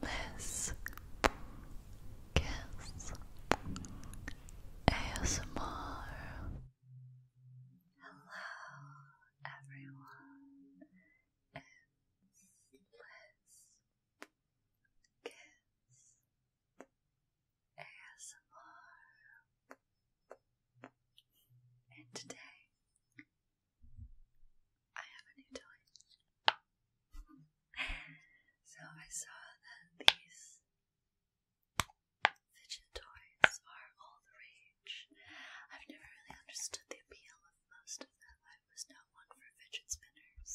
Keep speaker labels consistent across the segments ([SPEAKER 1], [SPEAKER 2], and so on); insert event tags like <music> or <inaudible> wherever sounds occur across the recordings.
[SPEAKER 1] This Kiss ASMR. Hello, everyone. It's Liz Kiss ASMR. And today I have a new toy. so I saw that these fidget toys are all the rage. I've never really understood the appeal of most of them. I was not one for fidget spinners.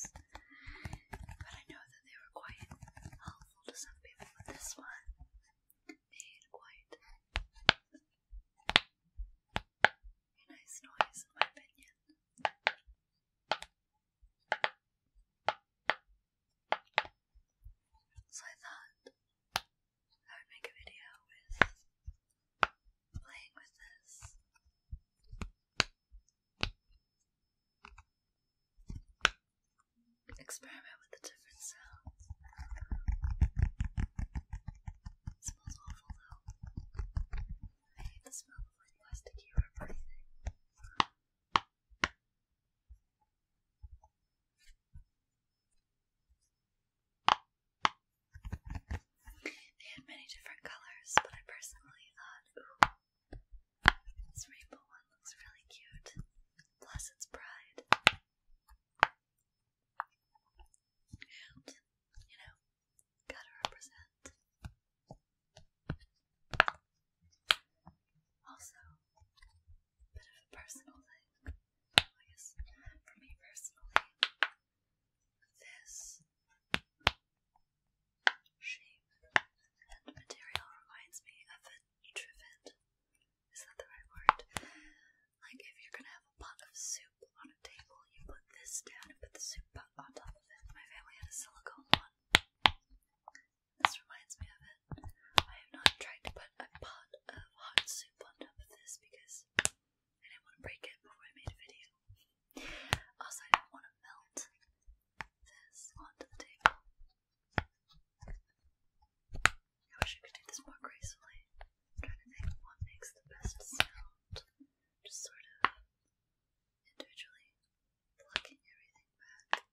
[SPEAKER 1] But I know that they were quite helpful to some people, but this one made quite so I thought I would make a video with playing with this. Experiment with the different sounds. smells awful though. I hate the smell of plastic here or They had many different colors, but I personally thought, this rainbow one looks really cute. Plus, it's bright. And, you know, Gotta represent. Also, bit of a personal thing. I guess for me personally, this shape and material reminds me of a trivet. Is that the right word? Like if you're gonna a pot of soup on a table, you put this down and put the soup pot on top of it. My family had a silicone one. This reminds me of it. I have not tried to put a pot of hot soup on top of this because I didn't want to break it before I made a video. Also, I didn't want to melt this onto the table. I wish I could do this more gracefully. trying to think what makes the best sound. Just sort of individually, plucking everything back.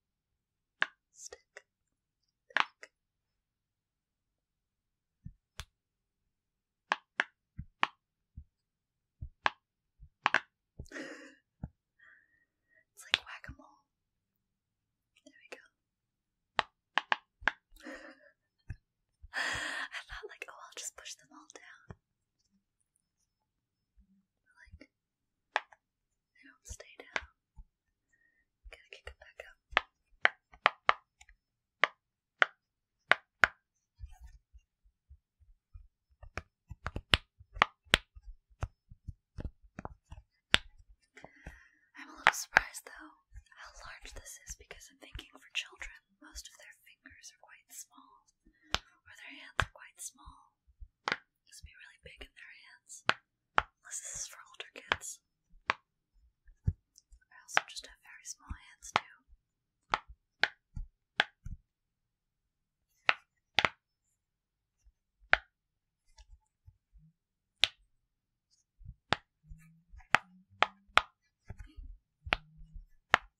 [SPEAKER 1] Stick, back. it's like whack a mole. There we go. <laughs> I thought, like, oh, I'll just push them all down like, they don't stay down. Gotta kick them back up. I'm a little surprised though how large this is because I'm thinking for children most of their fingers are quite small, or their hands are quite small. Just be really big in their hands. this is for older kids. I also just have very small hands too.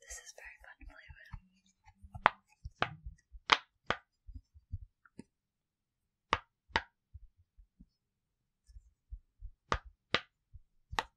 [SPEAKER 1] This is very fun to play with.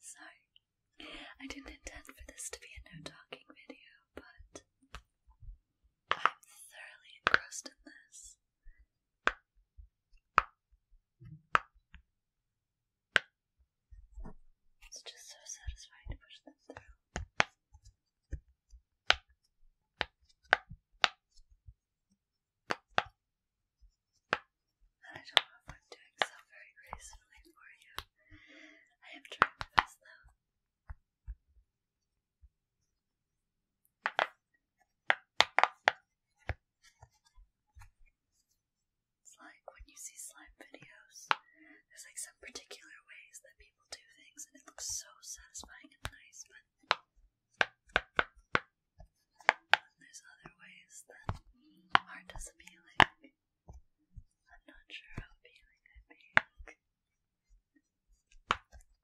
[SPEAKER 1] so, I didn't intend for this to be a no talking video, but I'm thoroughly engrossed in this. It's just so satisfying to push them through. And I don't know if I'm doing so very gracefully for you. I am trying my best though. It's like when you see slime videos, there's like some particular ways that people do things, and it looks so satisfying and nice, but there's other ways that aren't as appealing. I'm not sure how appealing I make.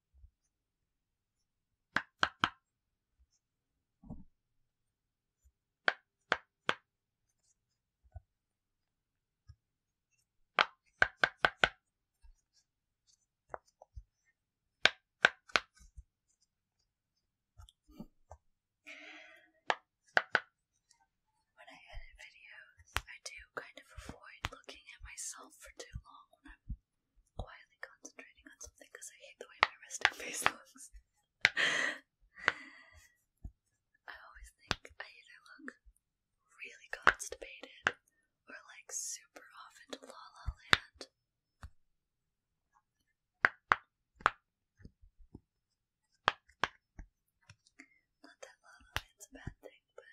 [SPEAKER 1] When I edit videos, I do kind of avoid looking at myself for too long when I'm quietly concentrating on something because I hate the way my resting face <laughs> looks. I always think I either look really constipated or like super off into la la land. Not that la la land's a bad thing, but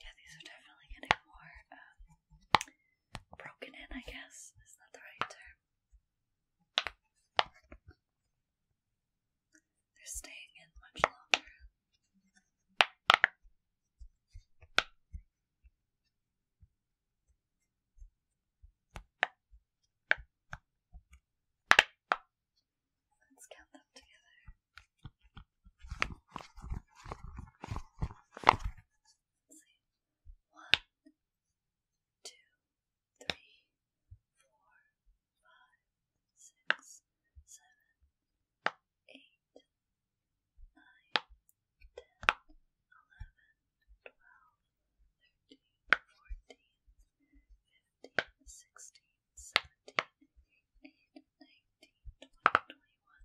[SPEAKER 1] Yeah, these are definitely getting more um, broken in, I guess. Is that the right term? They're staying in much longer. Let's count them together. One, two, three, four, five, six, seven, eight, nine, ten, eleven, twelve, thirteen, fourteen, fifteen, sixteen, seventeen, eighteen, nineteen, twenty, twenty-one,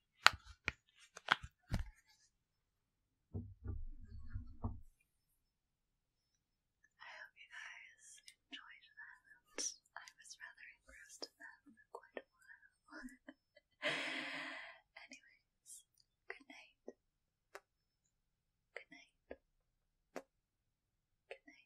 [SPEAKER 1] I hope you guys enjoyed that. I was rather engrossed in that for quite <laughs> Anyways, good night. Good night. Good night.